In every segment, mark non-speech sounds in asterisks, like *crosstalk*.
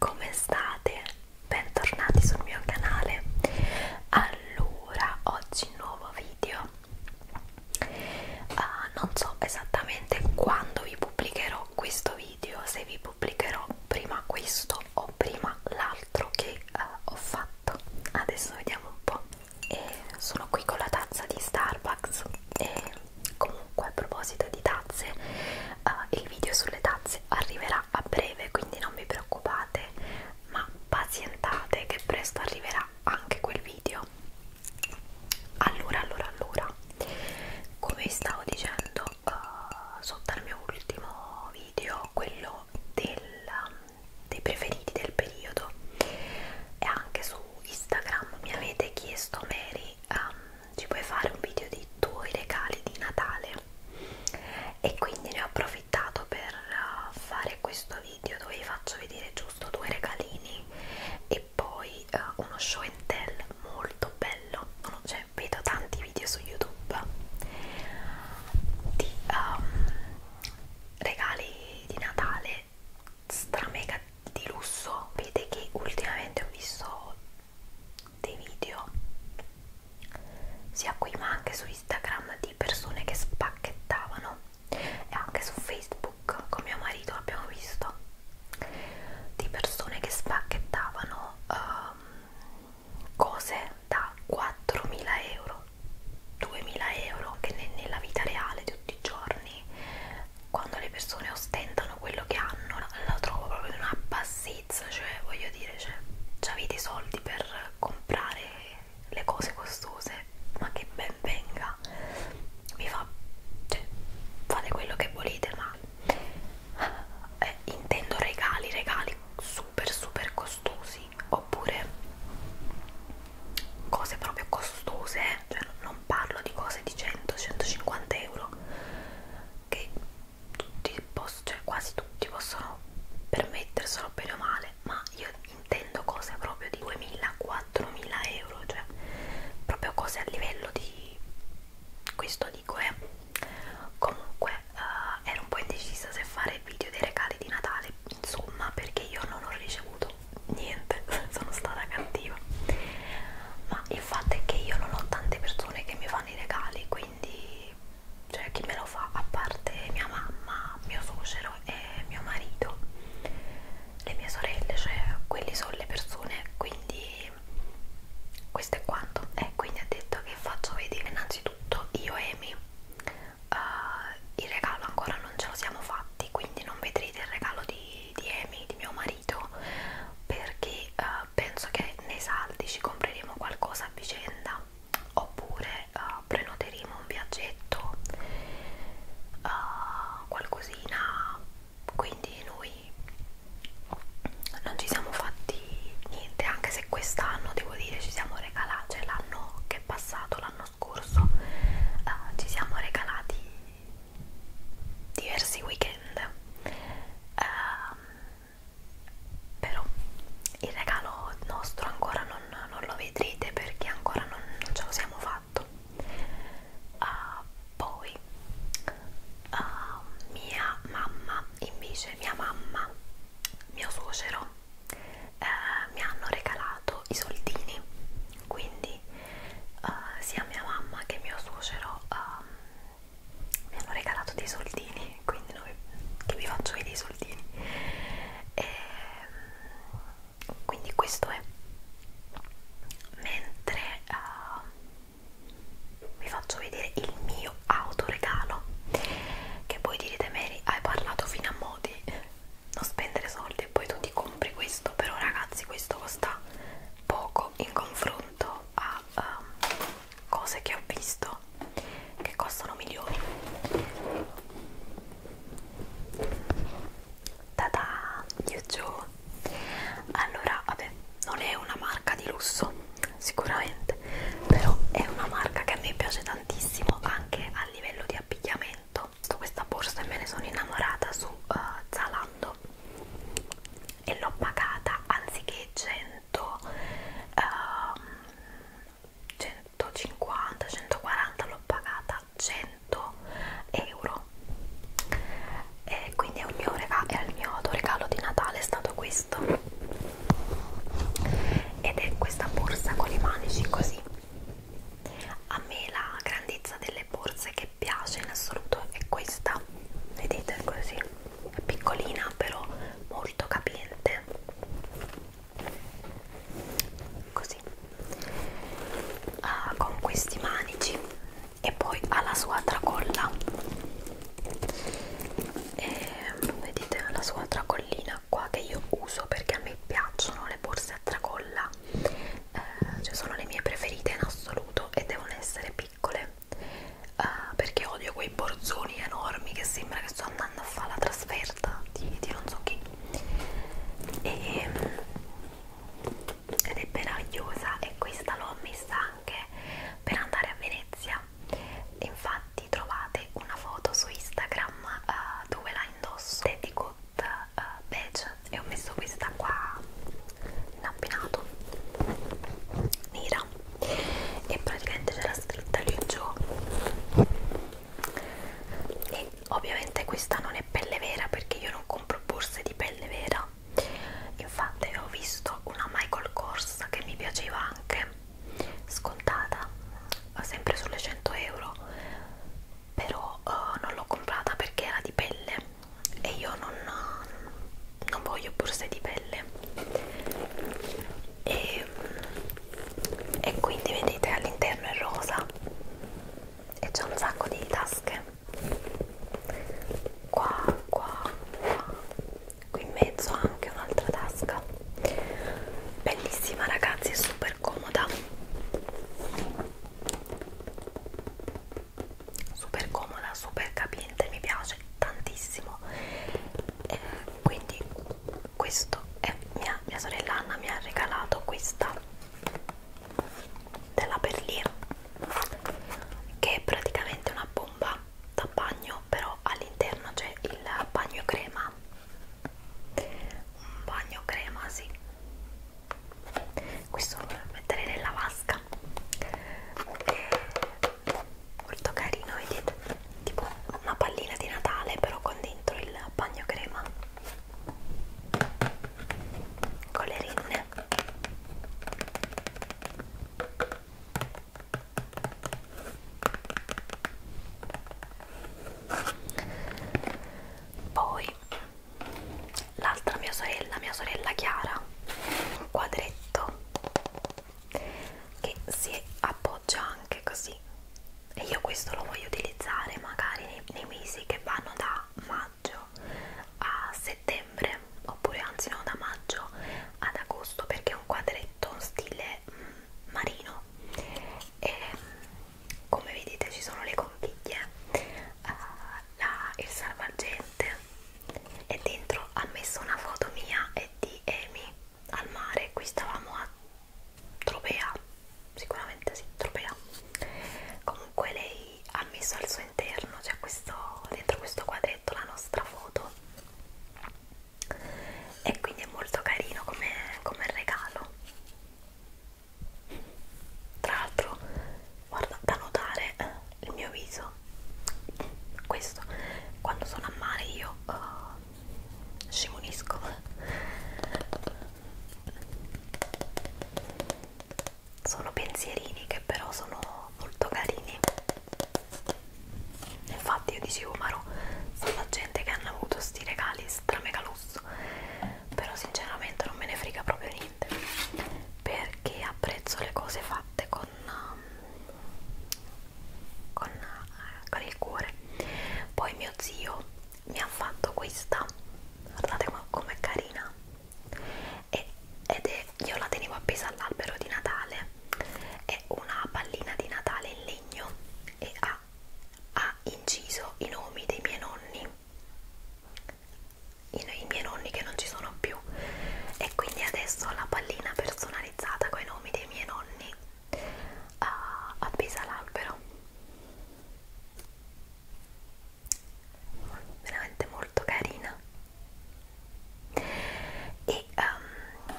Come state? Bentornati sul mio canale. Allora, oggi nuovo video. Uh, non so esattamente quando vi pubblicherò questo video, se vi pubblicherò prima questo o prima l'altro che uh, ho fatto. Adesso vediamo un po'. E sono qui con la tazza di Starbucks e comunque a proposito di tazze, uh, il video sulle tazze arriverà arriverà a breve quindi non vi preoccupate ma pazientate che presto arriverà anche quel video allora allora allora come vi stavo dicendo uh, sotto al mio ultimo video quello del, dei preferiti del periodo e anche su Instagram mi avete chiesto Mary um, ci puoi fare un video dei tuoi regali di Natale e quindi ne ho approfittato per uh, fare questo video dove vi faccio vedere giusto due regalini e poi uh, uno show and tell molto bello cioè, vedo tanti video su YouTube di um, regali di Natale stramega di lusso vedete che ultimamente ho visto dei video sia qui ma anche su Instagram di persone che spacchettavano e anche su Facebook con mio marito l'abbiamo visto di persone che spacchettavano um, cose da 4.000 euro 2.000 euro che ne nella vita reale di tutti i giorni quando le persone ostentano quello che hanno la, la trovo proprio in una bassezza States, cioè voglio dire, cioè, avete i soldi per comprare le cose costose, ma che ben venga, vi fa, cioè, fate quello che volete, ma eh, intendo regali, regali super super costosi, oppure cose proprio costose, eh. cioè non parlo di cose di 100-150 euro che tutti, cioè quasi tutti possono permetterselo bene o male, ma io intendo cose proprio di 2.000-4.000 euro, cioè proprio cose a livello di questo dico eh. Comunque eh, ero un po' indecisa se fare il video dei regali di Natale, insomma, perché io non ho ricevuto niente, *laughs* sono stata cattiva. Ma il fatto è che io non ho tante persone che mi fanno i regali, quindi cioè chi me lo fa a parte mia mamma, mio suocero e mio marito, le mie sorelle, cioè quelli sono le persone, quindi questo è quanto. E eh, quindi ha detto che faccio vedere innanzitutto io e Amy. Uh, il regalo ancora non ce lo siamo fatti, quindi non vedrete il regalo di, di Amy, di mio marito, perché uh, penso che nei saldi ci compreremo qualcosa a vicenda oppure uh, prenoteremo un viaggetto uh, qualcosina quindi noi non ci siamo fatti niente anche se quest'anno devo dire ci siamo regalati cioè l'anno che è passato l'anno scorso uh, ci siamo regalati diversi weekend uh, però il regalo nostro ancora non, non lo vedrete perché ancora non, non ce lo siamo fatto uh, poi uh, mia mamma invece mia mamma mio suocero eh, mi hanno regalato i soldini quindi uh, sia mia mamma che mio suocero uh, mi hanno regalato dei soldini quindi noi, che vi faccio vedere i soldini e, ehm, quindi questo è mentre uh, vi faccio vedere il mio autoregalo che poi direte Mary hai parlato fino a mo' di non spendere soldi e poi tu ti compri questo però ragazzi questo costa poco in confronto a um, cose che ho visto che costano milioni Tada, Yuzu Allora, vabbè, non è una marca di lusso sicuramente però è una marca che a me piace tantissimo anche a livello di abbigliamento ho questa borsa e me ne sono innamorata su uh, Zalando e l'ho pagata anziché 100 100, um, 150, 140 l'ho pagata 100 euro e quindi il mio, regalo, il mio regalo di Natale è stato questo ed è questa borsa con i manici così a me la grandezza delle borse che piace in assoluto è questa vedete così è piccolina però molto capiente così ah, con questi manici e poi ha la sua tracolla e, vedete la sua tracollina qua che io uso perché a me piacciono le borse a tracolla eh, cioè sono le mie preferite in assoluto e devono essere piccole uh, perché odio quei borzoni enormi che sembra che sto andando a fare la trasferta di, di non so chi e, ehm, ed è meravigliosa e questa l'ho messa anche per andare a Venezia infatti trovate una foto su Instagram uh, dove la indosso è di Good uh, ah, Beige e ho messo questa qua in abbinato nera Milano e praticamente c'era scritta lì giù e ovviamente questa non è pelle vera perché io non compro borse di pelle vera infatti ho visto una Michael Kors che mi piaceva anche scontata sempre sulle 100 euro però uh, non l'ho comprata perché era di pelle e io non, non voglio borse di pelle e, e quindi vedete all'interno è rosa e c'è un sacco di tasche qua, qua, qua qui in mezzo anche un'altra tasca bellissima ragazzi è super comoda super comoda super capiente mi piace tantissimo eh, quindi questo è mia, mia sorella Anna mi ha regalato questa della Perlier che è praticamente una bomba da bagno però all'interno c'è il bagno crema un bagno crema sì questo lo metterei nella vasca e molto carino vedete tipo una pallina di Natale però con dentro il bagno crema con le rinne poi l'altra mia sorella mia sorella Chiara un quadretto che si appoggia anche così e io questo lo voglio utilizzare magari nei, nei mesi che vanno da maggio a settembre oppure anzi no da maggio ad agosto perché è un quadretto in stile mm, marino e come vedete ci sono le conchiglie uh, la, il salvagente e dentro ha messo una foto mia e di Amy al mare, qui stavamo a Tropea, sicuramente sì, Tropea. Comunque lei ha messo al suo interno, cioè questo, dentro questo quadretto la nostra foto e quindi è molto carino come, come regalo. Tra l'altro, guarda, da notare eh, il mio viso, questo, quando sono a mare io... Uh, scemonisco sono pensierini che però sono molto carini infatti io dicevo ma no sono gente che hanno avuto sti regali stramegalusso però sinceramente non me ne frega proprio niente perché apprezzo le cose fatte con um, con, eh, con il cuore poi mio zio mi ha fatto questa guardate com'è carina e, ed è, io la tenevo appesa all'albero di Natale è una pallina di Natale in legno e ha, ha inciso i nomi dei miei nonni i, i miei nonni che non ci sono più e quindi adesso ho la pallina personalizzata con i nomi dei miei nonni uh, appesa l'albero veramente molto carina e um,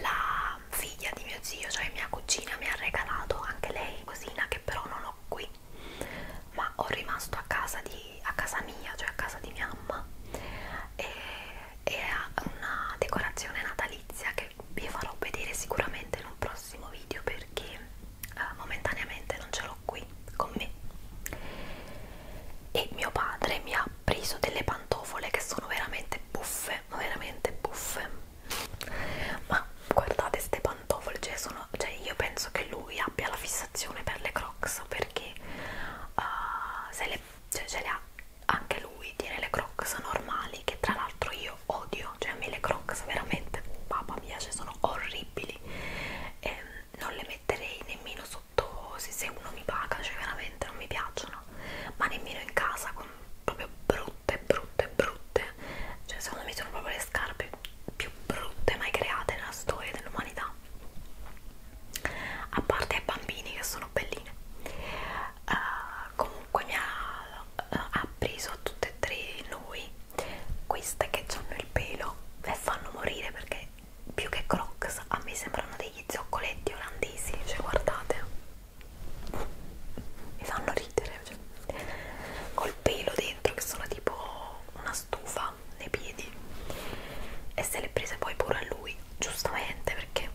la figlia di mio zio cioè mia cugina mi ha regalato anche lei cosina che però non ho qui ma ho rimasto a casa, di, a casa mia cioè a casa di mia mamma e e ha una decorazione natalizia che vi farò vedere sicuramente in un prossimo video perché eh, momentaneamente non ce l'ho qui con me e mio padre mi ha preso delle pantofole che sono veramente buffe veramente buffe ma guardate queste pantofole cioè, sono, cioè io penso che lui abbia la fissazione per le crocs perché uh, se le, cioè, ce le ha anche lui tiene le Crocs normali che tra l'altro io odio, cioè a me le Crocs veramente, papà mia, cioè sono orribili, eh, non le metterei nemmeno sotto se uno mi paga, cioè veramente non mi piacciono, ma nemmeno in casa con proprio brutte, brutte, brutte, cioè secondo me sono proprio le scarpe più brutte mai create nella storia dell'umanità a parte ai bambini che sono sono belline uh, comunque mi ha uh, eh, appreso a tutte e tre noi queste che hanno il pelo e fanno morire perché più che crocs a me sembrano degli zoccoletti olandesi cioè guardate mi fanno ridere cioè. col pelo dentro che sono tipo una stufa nei piedi e se le prese poi pure a lui giustamente perché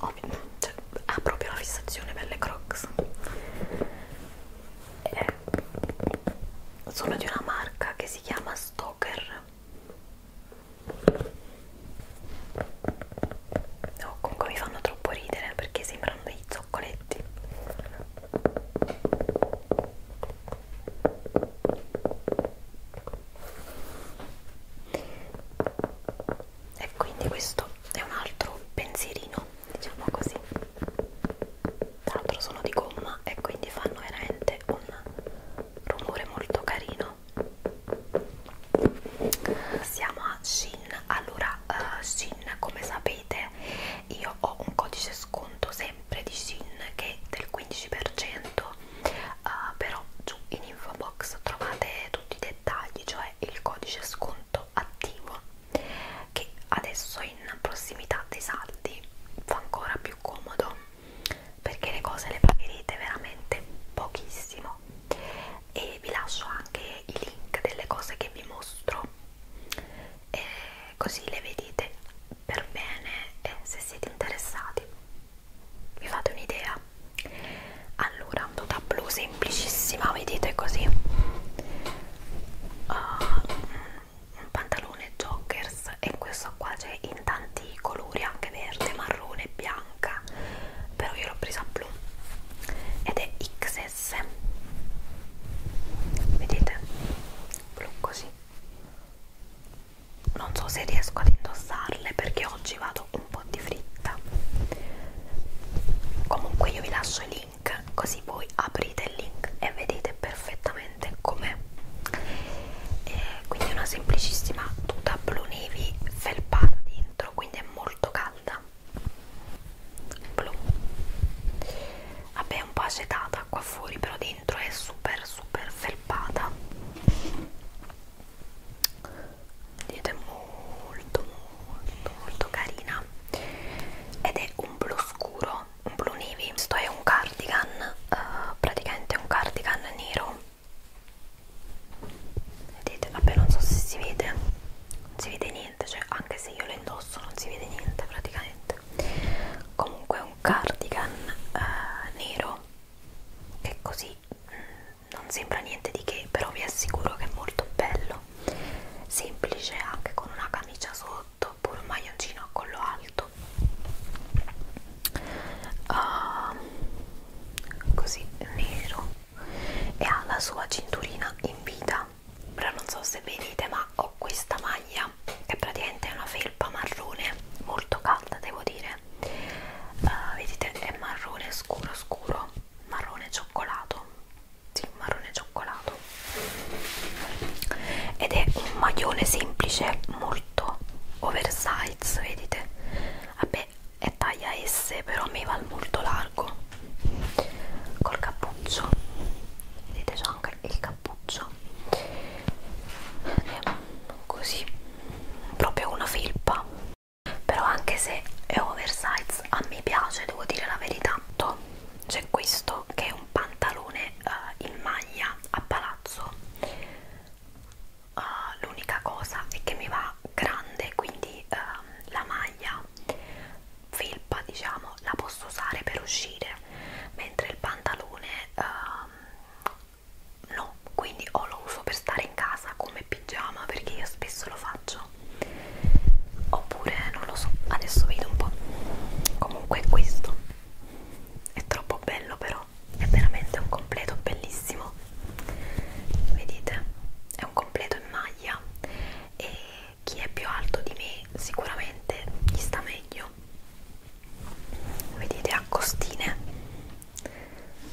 ovviamente cioè, ha proprio la fissazione per le crocs e eh, sono di una marca che si chiama Stoker no, comunque mi fanno troppo ridere perché sembrano dei zoccoletti e quindi questo è un altro pensierino diciamo così tra l'altro sono di gomma e quindi fanno veramente un rumore molto carino siamo a Shin allora uh, Shin come sapete io ho un codice sconto sempre di Shin che è del 15% uh, però giù in info box trovate tutti i dettagli cioè il codice sconto attivo che adesso in prossimità dei saldi fa ancora più comodo perché le cose le pagherete veramente pochissimo e vi lascio anche i link delle cose che vi mostro e così le vedete per bene e se siete interessati vi fate un'idea? Allora, un tuta blu semplicissima, vedete così, uh, un pantalone joggers e questo qua c'è in tanti colori, anche verde, marrone, bianca, però io l'ho presa blu ed è XS, vedete? Blu così non so se riesco ad indossarle perché oggi vado un po' di fritta comunque io vi lascio i link così voi aprite il link e vedete perfettamente com'è quindi è una semplicissima tuta blu navy felpata dentro quindi è molto calda blu vabbè è un po' acetata qua fuori però dentro è super super felpata ed è molto molto molto carina ed è un blu scuro un blu navy questo è un cardigan uh, praticamente un cardigan nero vedete vabbè non so se si vede non si vede niente cioè anche se io lo indosso non si vede niente praticamente comunque è un cardigan uh, nero che così mh, mm, non sembra niente di che però vi assicuro che è molto bello semplice anche con una camicia sotto oppure un maglioncino a collo alto uh, così nero e ha la sua cinturina in vita però non so se vedete ma ho questa maglia che praticamente è una felpa marrone molto calda devo dire colore uh, eh, vedete è marrone scuro scuro marrone cioccolato sì, marrone cioccolato ed è un maglione semplice molto oversize vedete vabbè è taglia S però mi va molto largo col cappuccio vedete c'è anche il cappuccio è così proprio una felpa però anche se è oversize a me piace devo dire la verità c'è questo che è un pantalone uh, in maglia a palazzo uh, l'unica cosa è che mi va grande quindi uh, la maglia felpa diciamo la posso usare per uscire mentre il pantalone uh, no quindi o lo uso per stare in casa come pigiama perché io spesso lo faccio oppure non lo so adesso vedo un po' comunque questo è troppo bello però è veramente un completo bellissimo vedete è un completo in maglia e chi è più alto di me sicuramente gli sta meglio vedete a costine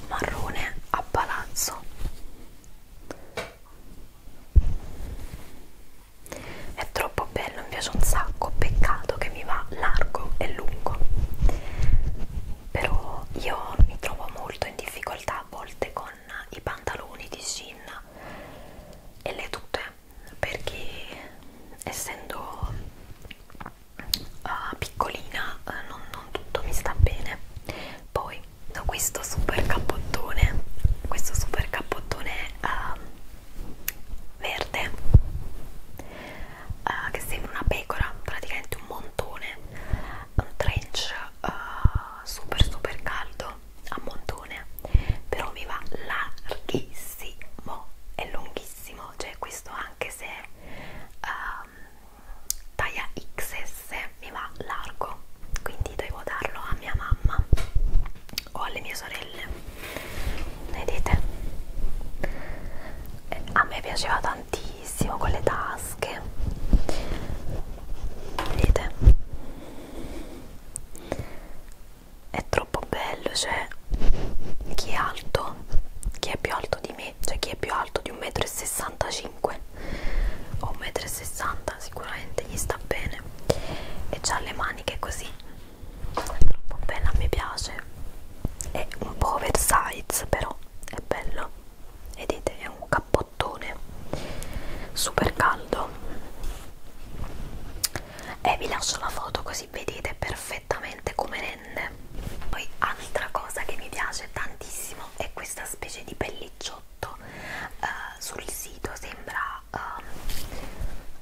marrone a palazzo è troppo bello mi piace un sacco peccato che mi va largo e lungo però io mi trovo molto in difficoltà a volte con i pantaloni di jean e le tute perché essendo uh, piccolina uh, non, non tutto mi sta bene poi da questo super cappottone questo super cappottone uh, verde uh, che sembra una pecora praticamente un montone un trench uh, super super caldo a montone però mi va larghissimo è lunghissimo cioè questo anche se um, taglia XS mi va largo quindi devo darlo a mia mamma o alle mie sorelle vedete eh, a me piaceva tantissimo con le tasche vedete è troppo bello cioè chi è alto chi è più alto di me e c'è cioè, chi è più alto di 1,65 m o 1,60 m sicuramente gli sta bene e ha le maniche così è troppo bella mi piace è un po' oversize però è bello vedete è un cappottone super caldo e eh, vi lascio la foto così vedete perfettamente come rende verde poi altra cosa che mi piace tantissimo è questa specie di pellicciotto eh, sul sito sembra eh,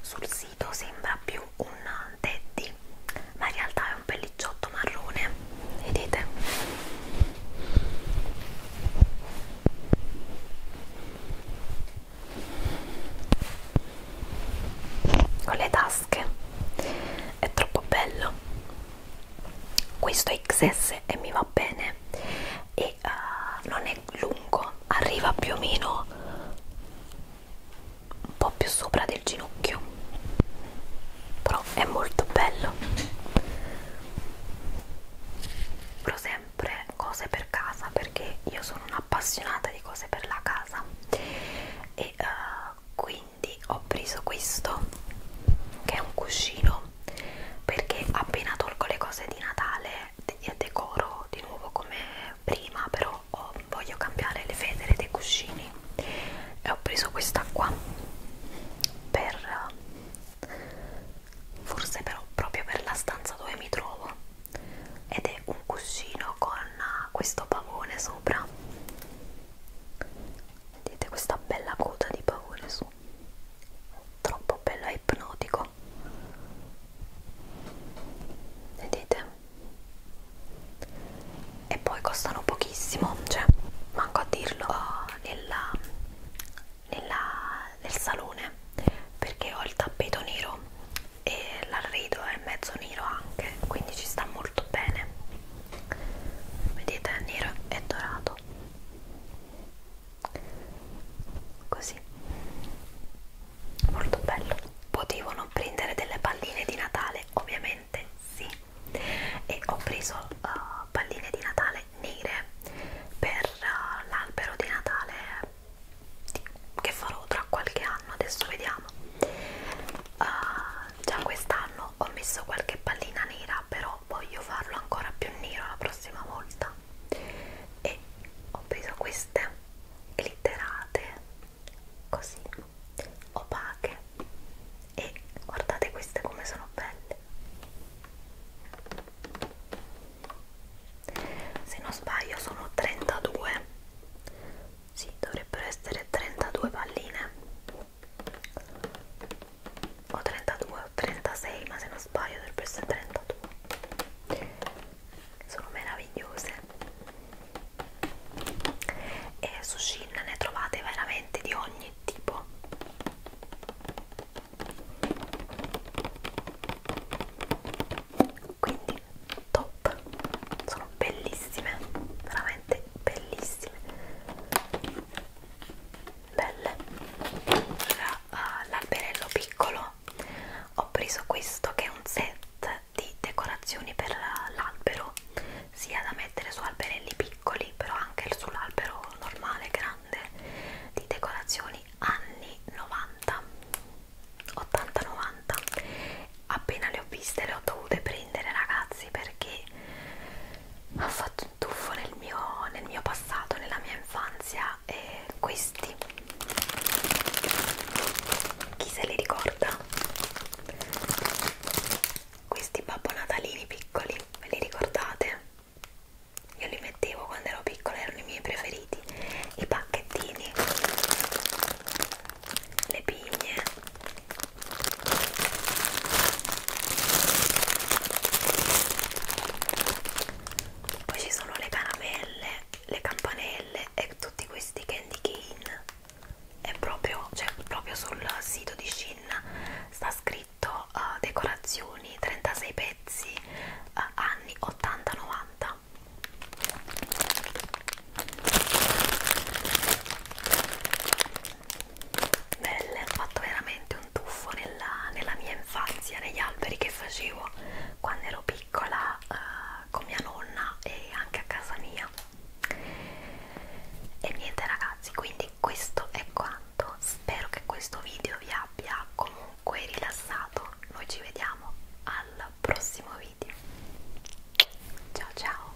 sul sito sembra più un teddy ma in realtà è un pellicciotto marrone vedete con le tasche è troppo bello questo XS e mi va bene e uh, non è lungo arriva più o meno un po' più sopra del ginocchio però è molto bello compro sempre cose per casa perché io sono un'appassionata di cose per la casa e uh, quindi ho preso questo che è un cuscino perché appena tolgo le cose di Natale eh, decoro di nuovo come prima però ho, voglio cambiare le federe dei cuscini e ho preso questa qua per forse però proprio per la stanza dove mi trovo ed è un cuscino con questo pavone sopra vedete questa bella coda di paure su troppo bello e ipnotico vedete e poi costano pochissimo cioè manco a dirlo nella, nella, nel salone perché ho il tappeto nero e l'arredo è mezzo nero anche quindi ci sta molto bene vedete è nero e dorato così molto bello potevano prendere delle palline di natale ovviamente sì e ho preso uh, palline di natale nere per uh, l'albero di natale che farò tra qualche anno adesso vediamo uh, già quest'anno ho messo qualche pallina nera però però voglio farlo ancora più nero la prossima volta e ho preso queste glitterate così opache e guardate queste come sono belle se non sbaglio sono 32 sì, dovrebbero essere 32 palline o 32 o 36 ma se non sbaglio dovrebbero essere 32 sono meravigliose e su Shin ne trovate veramente di ogni tipo quindi top sono bellissime veramente bellissime belle allora, uh, ah, l'alberello piccolo ho preso questo che è un set di decorazioni per l'albero sia da mettere su alberelli piccoli però anche sull'albero normale grande di decorazioni anni 90 80-90 appena le ho viste le ho dovute prendere ragazzi perché ha fatto un tuffo nel mio, nel mio passato, nella mia infanzia e questi chi se li ricorda? questi babbo natalini piccoli ve li ricordate? io li mettevo quando ero piccola erano i miei preferiti i pacchettini le pigne poi ci sono le caramelle, le campanelle e tutti questi candy cane. È proprio, cioè, proprio sul sito di Shin sta scritto uh, decorazioni 36 pezzi uh, anni 80-90 belle, ho fatto veramente un tuffo nella, nella mia infanzia, negli alberi che facevo quando ero piccola uh, con mia nonna e anche a casa mia e niente ragazzi quindi questo è quanto spero che questo video vi abbia comunque rilassato noi ci vediamo al prossimo video ciao ciao